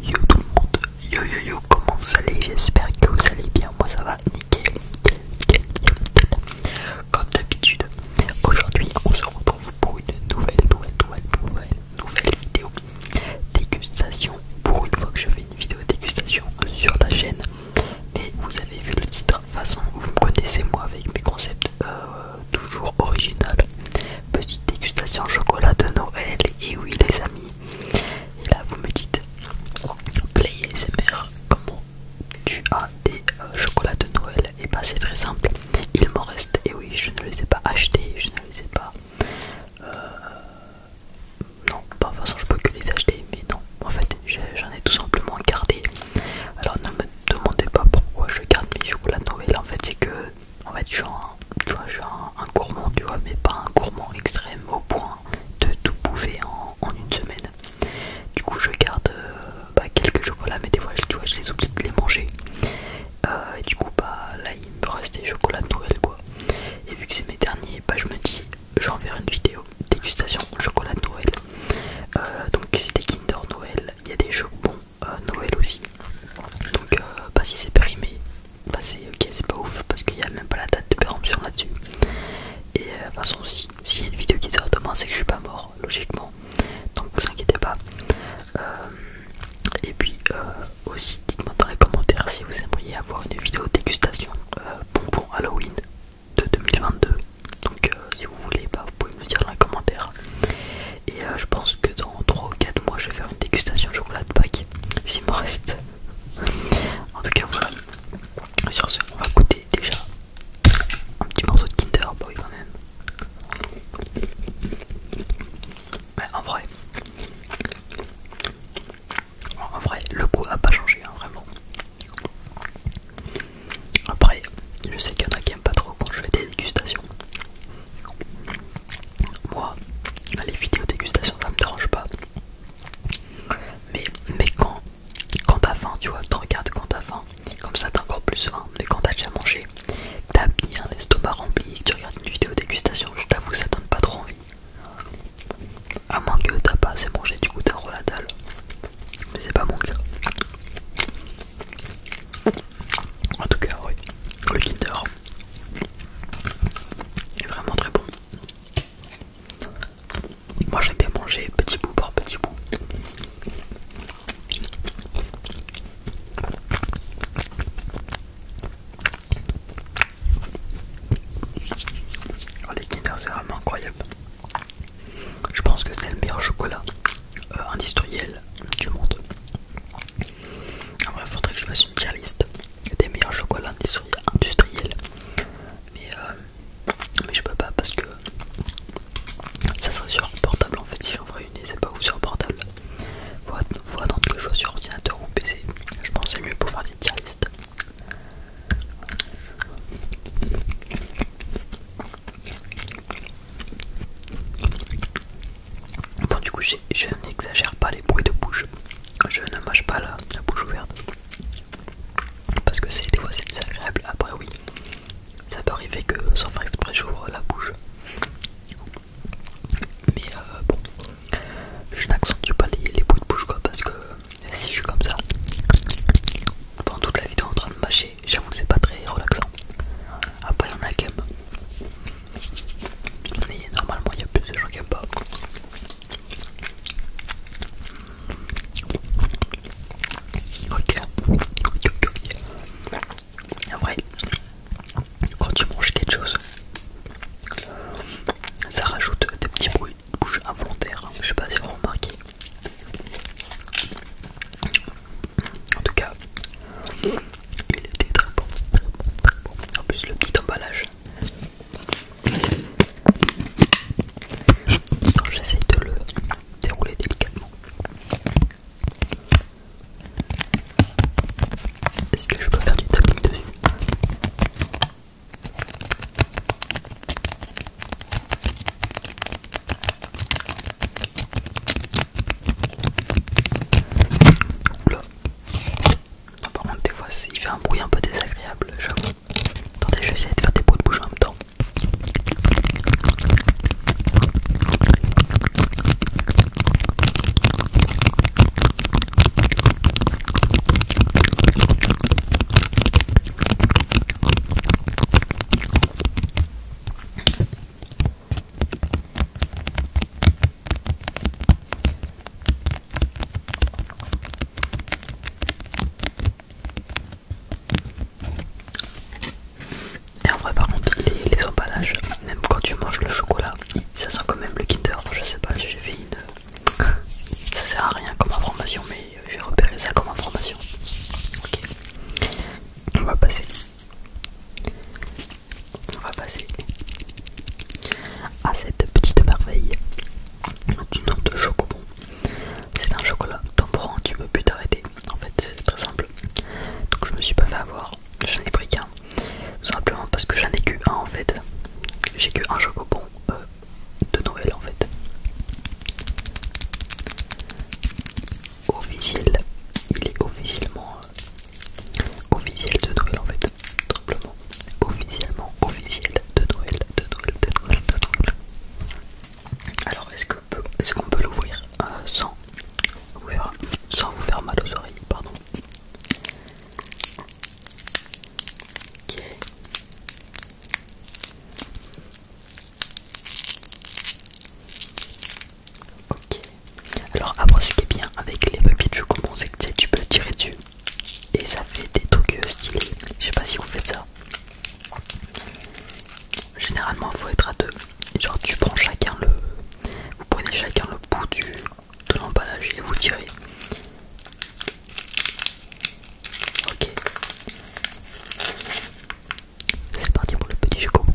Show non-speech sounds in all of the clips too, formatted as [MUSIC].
Yo tout le monde, yo yo yo, comment vous allez J'espère que vous allez bien, moi ça va nickel, nickel, nickel, Comme d'habitude, aujourd'hui on se retrouve pour une nouvelle, nouvelle, nouvelle, nouvelle, nouvelle vidéo dégustation. Pour une fois que je fais une vidéo dégustation sur la chaîne, mais vous avez vu le titre, de toute façon vous me connaissez moi avec mes concepts. Euh, toujours original. Petite dégustation chocolat de Noël, et oui les amis. Et là vous me dites, play comment tu as des euh, chocolats de Noël Et eh bah ben, c'est très simple, il m'en reste, et oui je ne les ai pas achetés, je ne les ai pas... Euh, non, pas de toute façon je peux que les acheter, mais non, en fait j'en ai tout simplement gardé. Alors ne me demandez pas pourquoi je garde mes chocolats de Noël, en fait c'est que en fait je un, gourmand, tu vois, mais pas un gourmand extrême au point de tout bouffer en, une semaine. Du coup, je garde euh, bah, quelques chocolats, mais des fois, je les oublie de les manger. Euh, du coup, bah, là, il me reste des chocolats de Noël, quoi. Et vu que c'est mes derniers, bah, je me dis, j'en vais une vidéo dégustation chocolat de Noël. Euh, donc, c'est des Kinder Noël, il y a des jeux, Noël aussi. Donc, pas euh, bah, si c'est périmé, bah, c'est c'est pas ouf parce qu'il y a même pas la date de péremption là-dessus. Et euh, de toute façon, si il y a une vidéo qui sort demain, c'est que je suis pas mort, logiquement. Donc, vous inquiétez pas. Euh, et puis, aussi, dites-moi dans les commentaires si vous aimeriez avoir une vidéo dégustation pour bonbon Halloween de 2022. Donc, si vous voulez, bah, vous pouvez me le dire dans les commentaires. Et euh, je pense que dans 3 ou 4 mois, je vais faire une dégustation chocolat de Pâques, s'il me reste. [LAUGHS] en tout cas, voilà. Sur ce, on va goûter déjà un petit morceau de Kinder Boy quand même. Mais en vrai, en vrai, le goût a pas changé, hein, vraiment. Après, je sais qu'il y en a qui aiment pas trop quand je fais des dégustations moi les vidéos dégustation ça me dérange pas mais, mais quand quand t'as faim tu vois tu regardes quand t'as faim comme ça t'as encore plus faim mais quand t'as déjà mangé t'as bien l'estomac rempli que tu regardes une vidéo dégustation je t'avoue ça donne pas trop envie à moins que t'as pas assez mangé du coup t'as la dalle mais c'est pas mon cas en tout cas, oui, le Kinder est vraiment très bon. Moi j'aime bien manger petit bout par petit bout. Oh, les Kinder c'est vraiment incroyable. Je pense que c'est le meilleur chocolat euh, industriel, du monde. En faudrait que je fasse une tier des meilleurs chocolats industriels, mais, euh, mais je peux pas parce que ça serait sur portable en fait. Si j'en ferais une, c'est pas ou sur portable. Faut, attendre que je sois sur ordinateur ou PC. Je pense c'est mieux pour faire des tier Bon du coup je n'exagère pas les bruits de bouche, je ne mâche pas la, bouche ouverte parce que c'est des fois c'est désagréable, après oui ça peut arriver que sans faire exprès j'ouvre la bouche mais euh, bon je n'accentue pas les, les bruits de bouche quoi parce que si je suis comme ça pendant toute la vidéo en train de mâcher j'avoue c'est pas très relaxant. Après il y en a qui aiment. Mais normalement il y a plus de gens qui aiment pas. Ok. En quand tu manges quelque chose, ça rajoute des petits bruits de bouche involontaires. Je sais pas si vous remarquez. En tout cas, il était très bon, En plus, le petit emballage. J'essaie de le dérouler délicatement. Est-ce que je peux faire du tapping dessus Oula. par contre, des fois, il fait un bruit un peu désagréable, j'avoue. Attendez, je vais essayer de faire des pots de bouche en même temps. Et en vrai par contre les, emballages, même quand tu manges le chocolat, ça sent quand même le Kinder, je sais pas, j'ai fait une... [LAUGHS] ça sert à rien comme information mais j'ai repéré ça comme information. Ok, on va passer on va passer à cette petite merveille du nom de Chocobon. C'est un chocolat temporant, tu peux plus t'arrêter. En fait, c'est très simple. Donc, je me suis pas fait avoir, j'en ai pris qu'un. Simplement parce que j'en ai que un en fait. J'ai que un Chocobon euh, de Noël en fait officiel. Il est officiellement euh, officiel de Noël en fait. Officiellement officiel de Noël, de Noël, de Noël, de Alors est-ce qu'on peut, est qu'on peut l'ouvrir euh, sans, sans vous faire mal aux oreilles Pardon. Ok. Ok. Alors après ce qui est bien avec les papiers de c'est que tu peux tirer dessus et ça fait des trucs euh, stylés. Je sais pas si vous faites ça. Généralement il faut être à deux. Genre tu prends chacun le. Vous prenez chacun le bout du, de l'emballage et vous tirez. Ok. C'est parti pour le petit chocomon.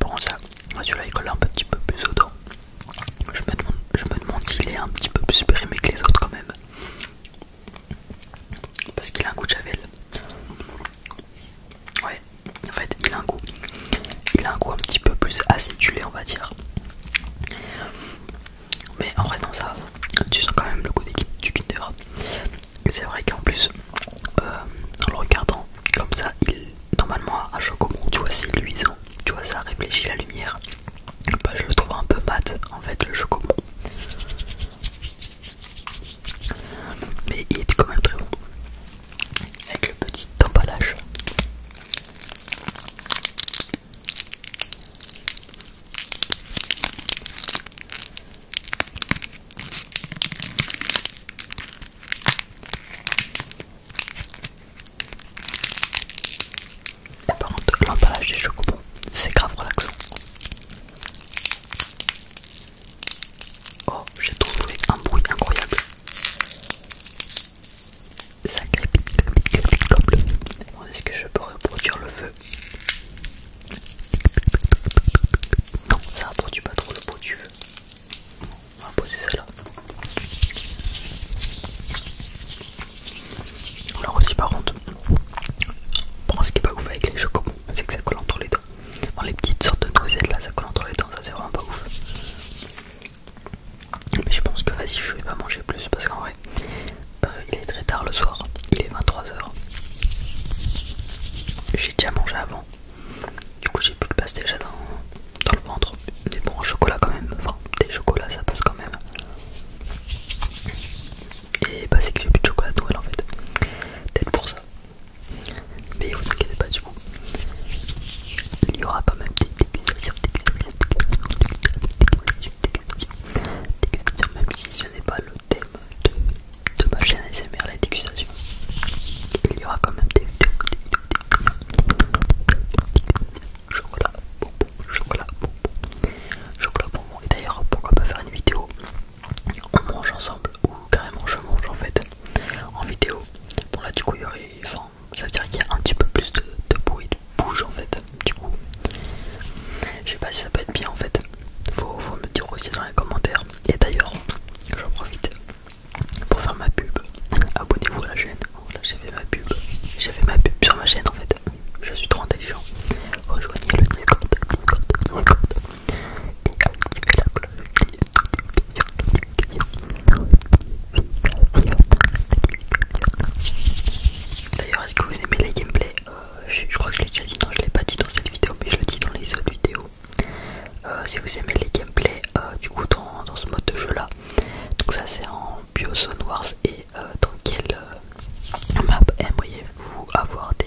Bon ça, moi là il collé un petit peu plus au dos. Je me demande s'il est un petit peu plus périmé que les autres quand même parce qu'il a un goût de chavel, Ouais, en fait, il a un goût, il a un goût un petit peu plus acidulé, on va dire. Mais en vrai, non, ça, tu sens quand même le goût du Kinder. C'est vrai qu'en plus, euh, en le regardant comme ça, il normalement à chocomont, tu vois, c'est luisant, tu vois, ça réfléchit la lumière. Bah, je le trouve un peu mat en fait, le chocomont mais il est quand même très bon avec le petit emballage. Et par contre, l'emballage des chocolats, c'est grave relaxant. Oh, j'ai trouvé un bruit incroyable. Ça crépite, crépite, crépite le Est-ce que je peux reproduire le feu Non, ça reproduit pas trop le bruit du feu. on va poser ça là. On l'a aussi par contre, bon, ce qui est pas ouf avec les chocobons, c'est que ça colle entre les doigts les petites sortes de noisettes là, ça colle entre les dents, ça c'est vraiment pas ouf. Mais je pense que vas-y, je vais pas manger plus parce qu'en vrai, euh, il est très tard le soir, il est 23h. J'ai déjà mangé avant, du coup j'ai plus de place déjà dans, dans le ventre. Des bons chocolat quand même, enfin des chocolats ça passe quand même. Et bah, c'est que j'ai plus de chocolat de en fait, peut-être pour ça. Mais vous inquiétez pas du coup. Il y aura quand même des dégustations, même si ce n'est pas le thème de, ma chaîne SMR les dégustation. Il y aura quand même des vidéos. Chocolat, bonbon, chocolat, bonbon, chocolat, bonbon. Et d'ailleurs, pourquoi pas faire une vidéo on mange ensemble ou carrément je mange en fait en vidéo. Bon là du coup il y aurait, enfin ça veut dire qu'il y a un petit peu plus de, bruit de bouge en fait. Du coup, je sais pas si ça peut être bien en fait. Faut, me dire aussi dans les commentaires. Et d'ailleurs, j'en profite pour faire ma pub. Abonnez-vous à la chaîne. là j'ai fait ma pub. J'ai fait ma pub sur ma chaîne en fait. Je suis trop intelligent. Rejoignez le Discord. D'ailleurs, est-ce que vous aimez les gameplays euh, je, crois que je l'ai déjà dit, non, je l'ai pas dit dans cette vidéo, mais je le dis dans les autres vidéos. Euh, si vous aimez les gameplays, euh, du coup, dans, ce mode de jeu là, donc ça c'est en Biozone Wars et dans quelle map aimeriez-vous avoir des